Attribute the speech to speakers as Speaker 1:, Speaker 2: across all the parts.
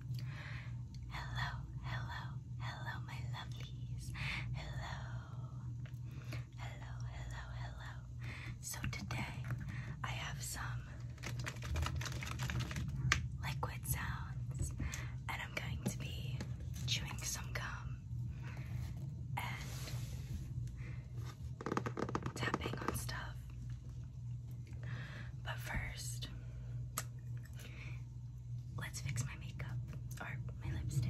Speaker 1: Hello, hello, hello, my lovelies. Hello, hello, hello, hello. So today I have some liquid sounds, and I'm going to be chewing some gum and tapping on stuff. But first, Let's fix my makeup or my lipstick.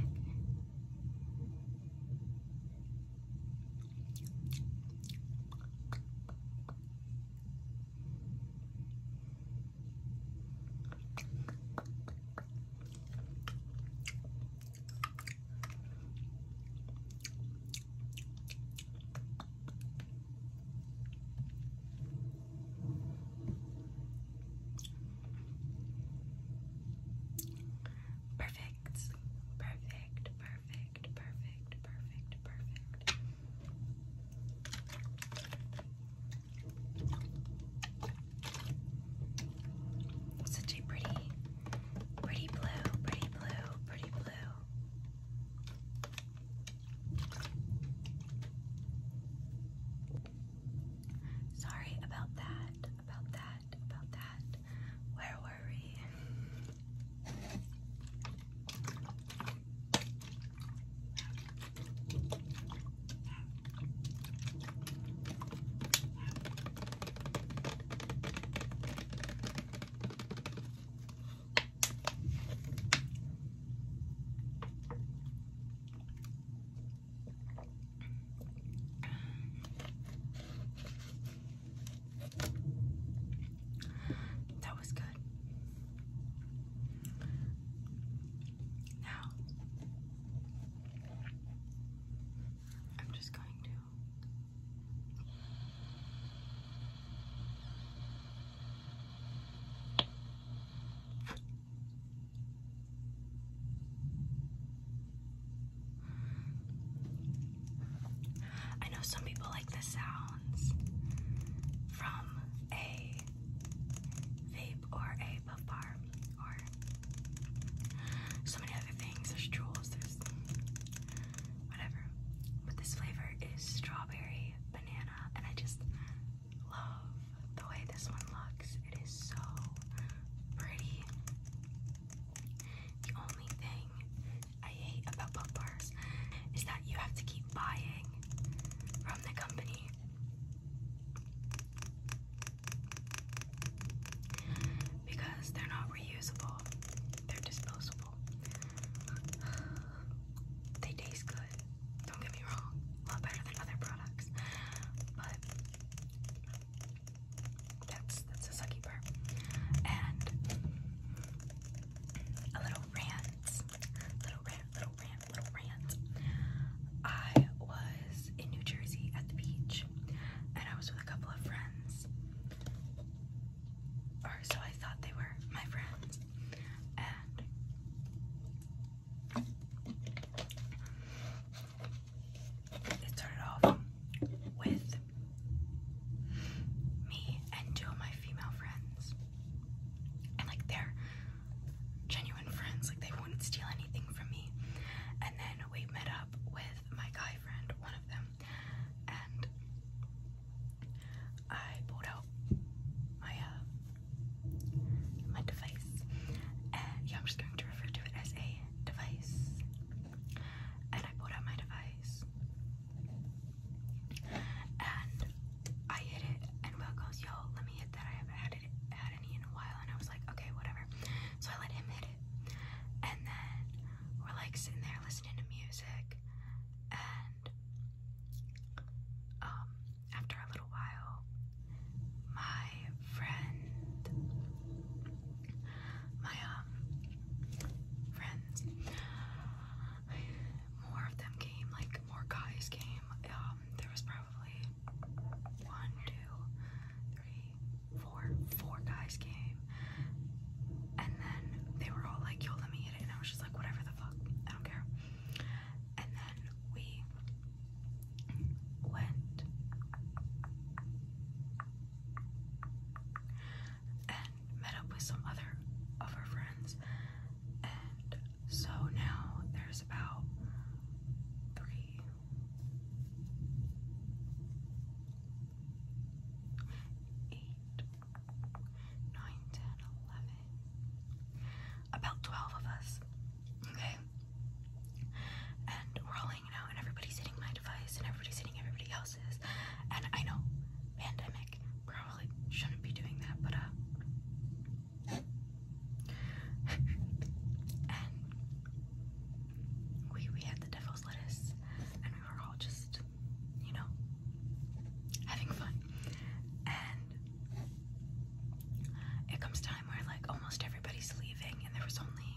Speaker 1: Perfect. Perfect. Perfect. Perfect. Perfect. Perfect. Such a pretty, pretty blue, pretty blue, pretty blue. Sorry about that, about that, about that. Where were we? That was good. Now, I'm just going to. I know some people like the sounds from a vape or a puff or so many other things. There's jewels, there's whatever. But this flavor is strawberry banana, and I just love the way this one looks. It is so pretty. The only thing I hate about book bars is that you have to keep buying from the company. Because they're not reusable, they're disposable. They taste good, don't get me wrong, a lot better than other products, but that's, that's a sucky part. And a little rant, little rant, little rant, little rant. I was in New Jersey at the beach, and I was with a couple of friends. Or so I thought they were my friends and it off with me and two of my female friends. And like they're genuine friends, like they wouldn't steal anything from me. And then we met up with my guy friend, one of them, and I pulled out my uh, my device, and yeah, I'm just going to refer to it as a device. And I pulled out my device, and I hit it, and Will goes, "Yo, let me hit that. I haven't had it had any in a while." And I was like, "Okay, whatever." So I let him hit it, and then we're like sitting there listening to music, and um, after a little while, my friend, my um, friends, more of them came, like more guys came. Um, there was probably one, two, three, four, four guys came, and then they were all like, "Yo, let me hit it," and I was just like, "Whatever the fuck, I don't care." and then we went and met up with some other of our friends, and so now there's about three. Eight, 9, About 12 of us, okay? And we're all hanging out, and everybody's hitting my device, and everybody's hitting everybody else's. And I know, pandemic, probably shouldn't be doing that, but uh. and we, we had the devil's lettuce, and we were all just, you know, having fun. And it comes time where like almost everybody's leaving and there was only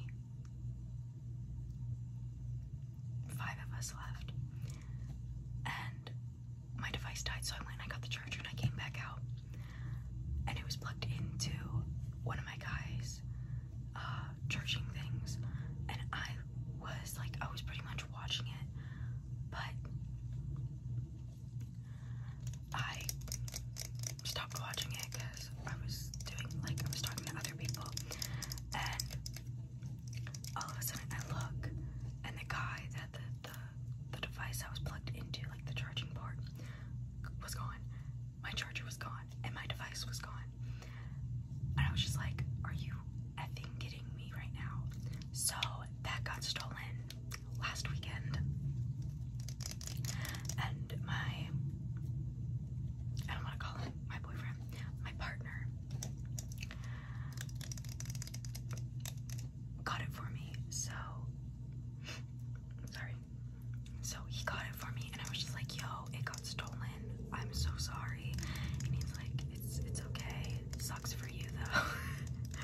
Speaker 1: five of us left and my device died so I went and got the charger and I came back out and it was plugged into one of my guys uh, charging things and I was like I was pretty much watching it but I stopped watching it because I was doing like I was talking to other people and all of a sudden I look and the guy that the the, device I was plugged into, like the charging port, was gone. My charger was gone and my device was gone. And I was just like, are you effing kidding me right now? So that got stolen last weekend. And my I don't want to call him my boyfriend, my partner got it for me. So sorry. So he got it for me and I was just like, yo, it got stolen. I'm so sorry. And he's like, it's it's okay. Sucks for you though.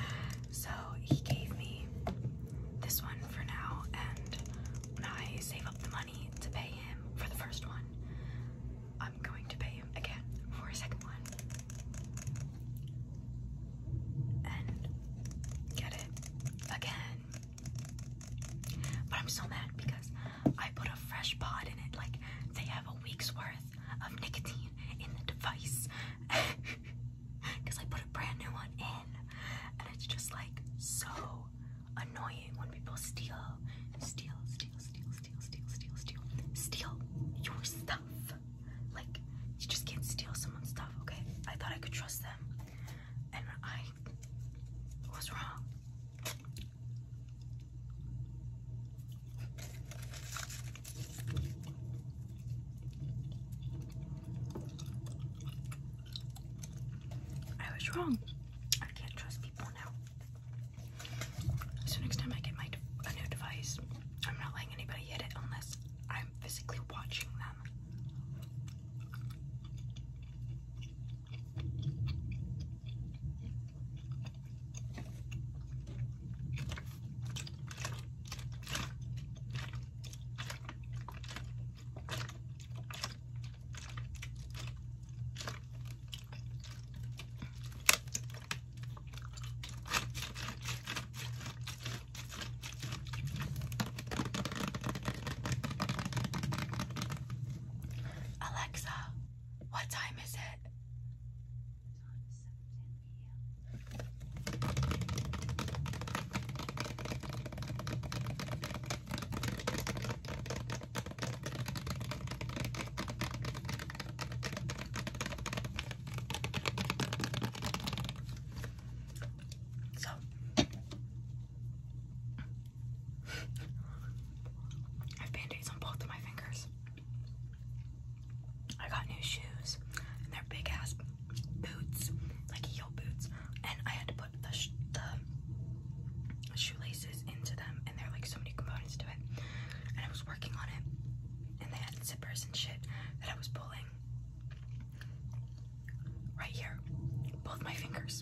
Speaker 1: so he gave me this one for now, and when I save up the money to pay him for the first one, I'm going to pay him again for a second one. And get it again. But I'm so mad because I put a fresh pod in it. Like, they have a week's worth of nicotine in the device because I put a brand new one in, and it's just like so annoying when people steal, steal, steal, steal, steal, steal, steal, steal, steal your stuff. Like just can't steal someone's stuff. Okay, I thought I could trust them, and I was wrong. I was wrong. I can't trust people now. So next time I get my a new device, I'm not letting anybody hit it unless I'm physically watching them. Alexa, what time is it? So I have band-aids on both of my fingers. I got new shoes, and they're big ass boots, like heel boots, and I had to put the, shoelaces into them, and there are like so many components to it. And I was working on it, and they had zippers and shit that I was pulling right here, both my fingers,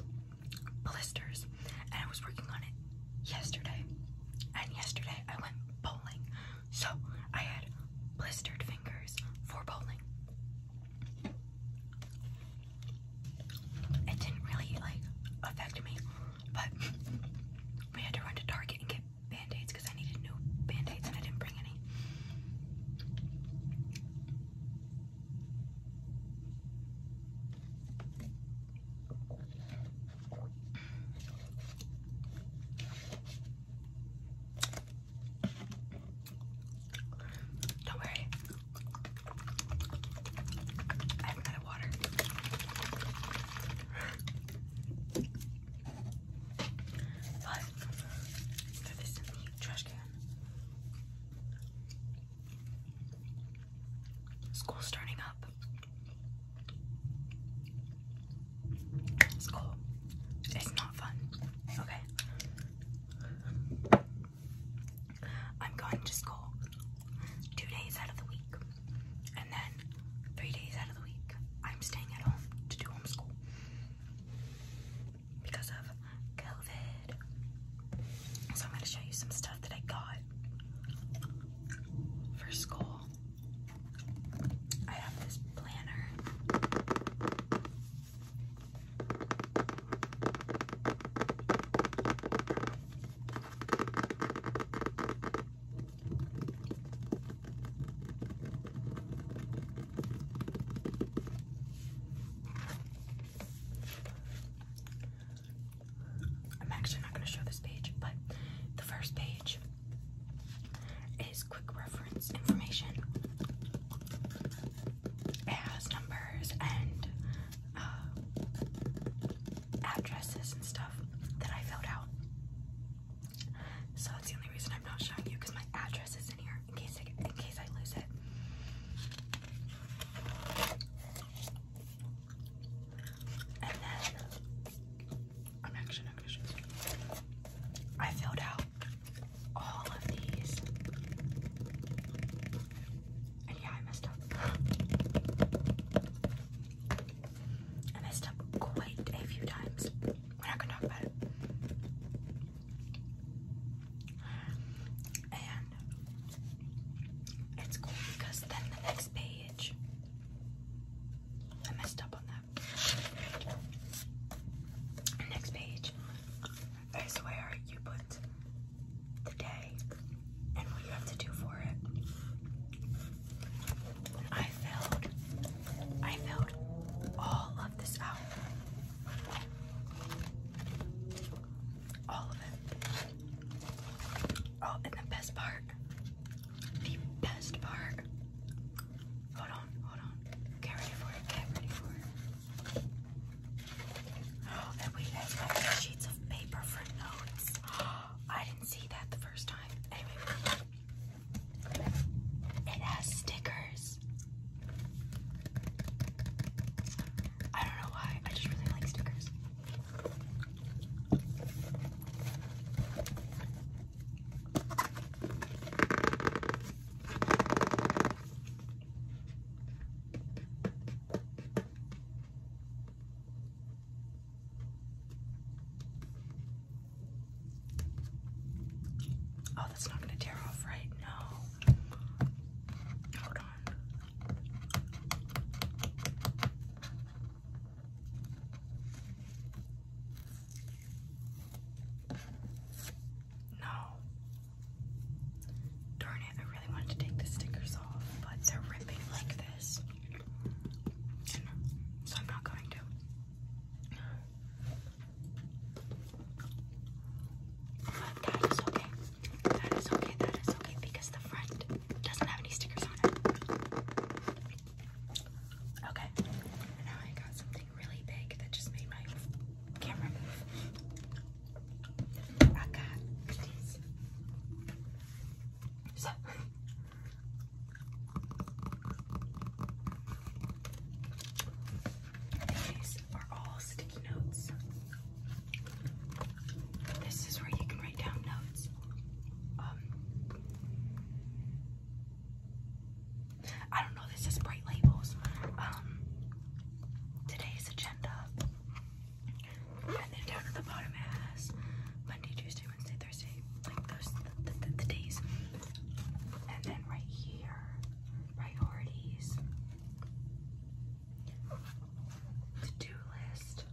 Speaker 1: blisters, and I was working on it yesterday. And yesterday I went bowling so I had blistered fingers for bowling. It didn't really like affect me, but we had to run to Target and get band-aids because I needed new band-aids and I didn't bring any. Don't worry. I haven't water. But throw in the trash can. School's starting up. It's It's not fun. Okay. I'm going to school two days out of the week. And then three days out of the week, I'm staying at home to do homeschool. Because of COVID. So I'm going to show you some stuff that I got for school. I have this planner. I'm actually not going to show this page, but the first page is quick reference information. It has numbers and uh, addresses and stuff that I filled out. So that's the only reason I'm not showing you because my address is in here in case I, in case I lose it. I'm actually not gonna show you. I filled out all of these. And yeah, I messed up. I messed up quite a few times. We're not gonna talk about it. And it's cool because then the next page, I messed up on Next page where you put the day and what you have to do for it. I filled, I filled all of this out. All of it. Oh, and the best part the best part. Hold on, hold on. Get ready for it, get ready for it. Oh, and we have sheets of paper for notes. I didn't see that the first time. Anyway, it has stickers. I don't know why, I just really like stickers. Oh, that's not going to tear off, right? now. Hold on. No. Darn it, I really wanted to take the stickers off, but they're ripping like this. so I'm not going to. But that is okay. That is okay, that is okay, because the front doesn't have any stickers on it. Okay, now I got something really big that just made my camera move. I got these. So, these are all sticky notes. This is where you can write down notes. Um, I don't know, this is bright labels. Um today's agenda. And then down at the bottom has Monday, Tuesday, Wednesday, Thursday, like those the days. And then right here, priorities, to-do list,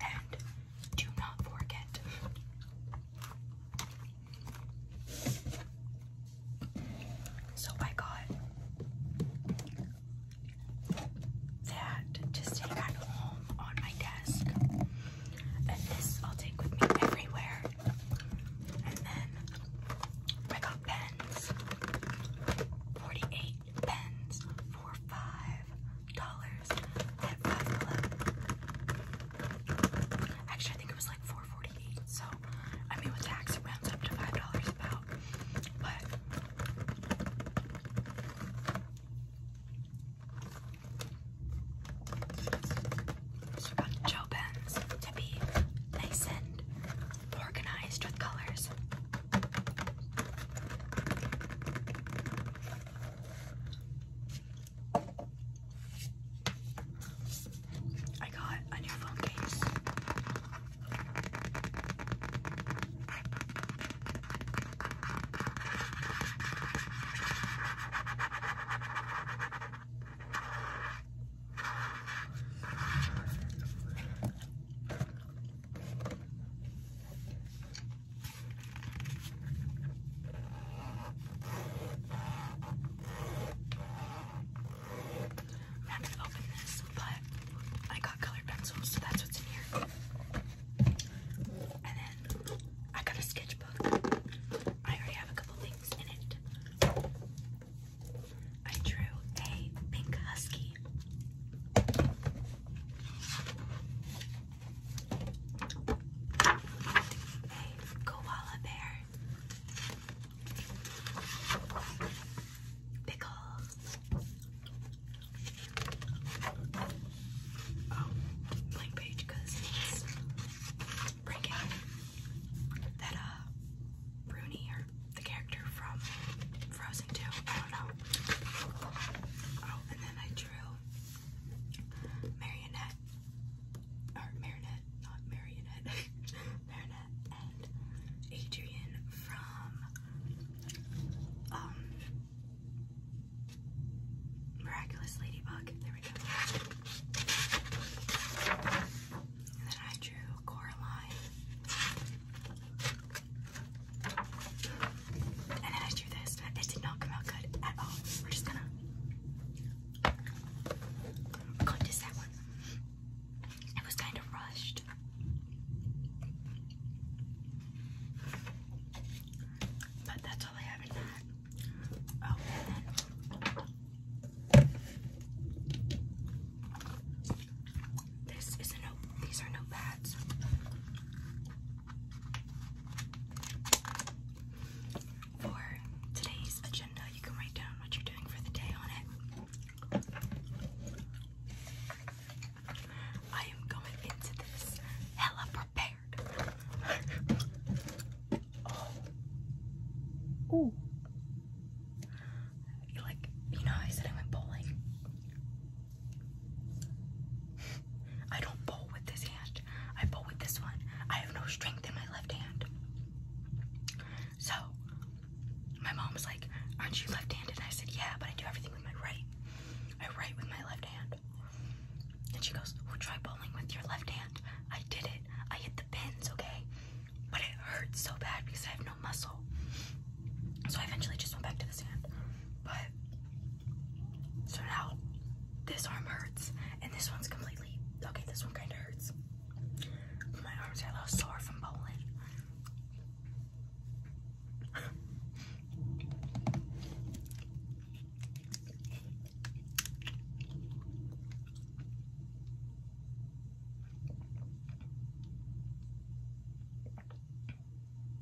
Speaker 1: and do not forget. So I got that to stay at home on my desk. And this I'll take with me everywhere. And then I got pens. 48 pens for five dollars Actually, I think it was like four forty-eight. So, I mean, with tax, it rounds up to five dollars about. But so got gel pens to be nice and organized with colors. I got a new phone case. I'm gonna open this, but I got colored pencils, so that's what's in here. And then I got a sketchbook. I already have a couple things in it. I drew a pink husky koala bear. Pickles. Oh, blank page because breaking. That uh Bruni or the character from Frozen 2, I don't know. Oh, and then I drew marionette, or marionette, not marionette, marionette, and Adrian from um Miraculous Ladybug. There we go. And then I drew Coraline. And then I drew this. This did not come out good at all. We're just gonna contest that one. It was kind of rushed. But that's all I have in that. Oh, and then this is a note. These are pads. For today's agenda, you can write down what you're doing for the day on it. I am going into this hella prepared. oh. Ooh. Like, you know, I said I went bowling. I don't bowl with this hand. I bowl with this one. I have no strength in my left hand. So my mom was like, Aren't you left handed? And I said, Yeah, but I do everything with my right. I write with my left hand. And she goes, Well, try bowling with your left hand. I did it. I hit the pins, okay? But it hurts so bad because I have no muscle. So I eventually just went back to the hand. But so now this arm hurts, and this one's completely okay. This one kind of hurts. My arms are a little sore from bowling.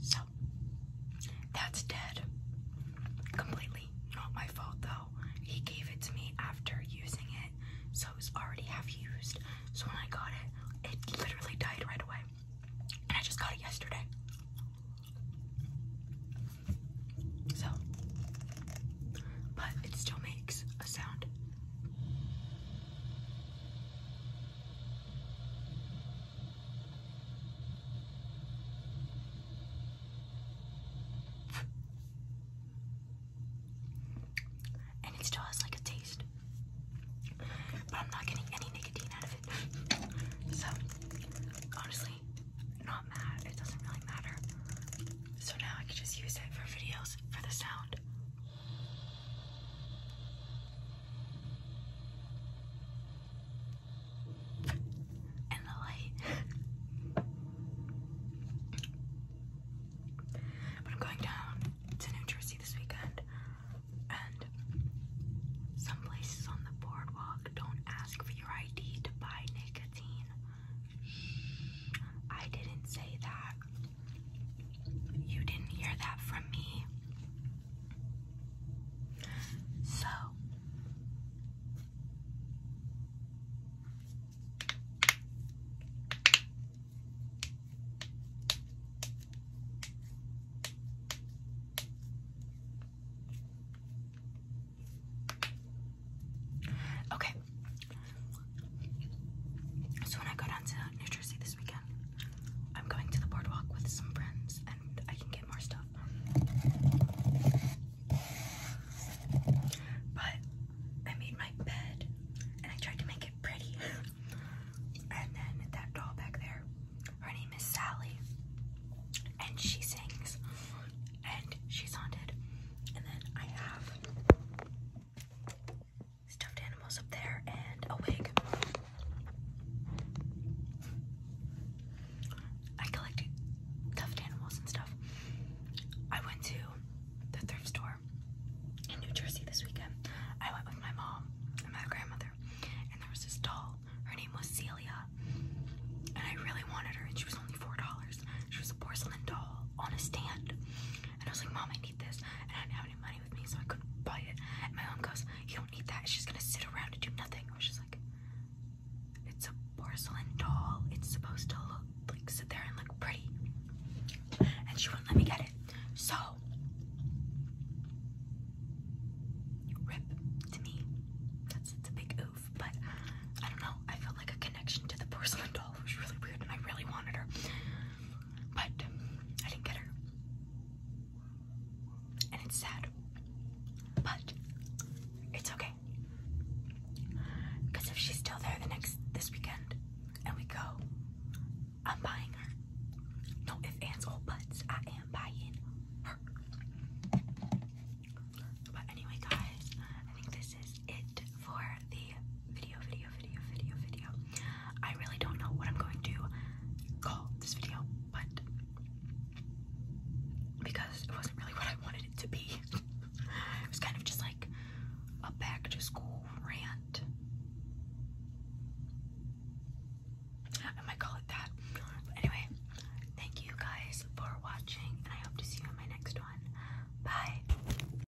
Speaker 1: So that's dead. Completely not my fault though. He gave it to me after using it, so it already half used. So when I got it, it literally died right away. And I just got it yesterday. So, but it still makes a sound. And it still has like a taste. But I'm not getting any nicotine out of it. so, honestly, not mad. It doesn't really matter. So now I can just use it for videos for the sound. And the light. but I'm going down to New Jersey this weekend, and some places on the boardwalk don't ask for your ID to buy nicotine. I didn't say that. You didn't hear that from me. So, okay, so when I go down to New Jersey this weekend, I'm going to the boardwalk with some friends and I can get more stuff. But I made my bed and I tried to make it pretty. and then that doll back there, her name is Sally. And she sings and she's haunted. And then I have stuffed animals up there and a wig. I collected stuffed animals and stuff. I went to the thrift store in New Jersey this weekend. I went with my mom and my grandmother, and there was this doll. Her name was Celia, and I really wanted her, and she was only $4. She was a porcelain doll on a stand. And I was like, Mom, I need this. And I didn't have any money with me, so I couldn't buy it. And my mom goes, You don't need that. It's just gonna sit around and do nothing. I was just like, It's a porcelain doll. It's supposed to look like sit there and look pretty. And she wouldn't let me get it. So rip to me. That's a big oof, but I don't know. I felt like a connection to the porcelain doll. It was really weird and I really wanted her. But I didn't get her. And it's sad. But it's okay. Cause if she's still there the next this weekend and we go, I'm buying her. No if ands or buts, I am buying her. But anyway guys, I think this this is it for the video, video, video, video, video. I really don't know what I'm going to call this video, but because it wasn't really what I wanted it to be, it was kind of just like a back to school rant. I might call it that. But anyway, thank you guys for watching, and I hope to see you in my next one. Bye.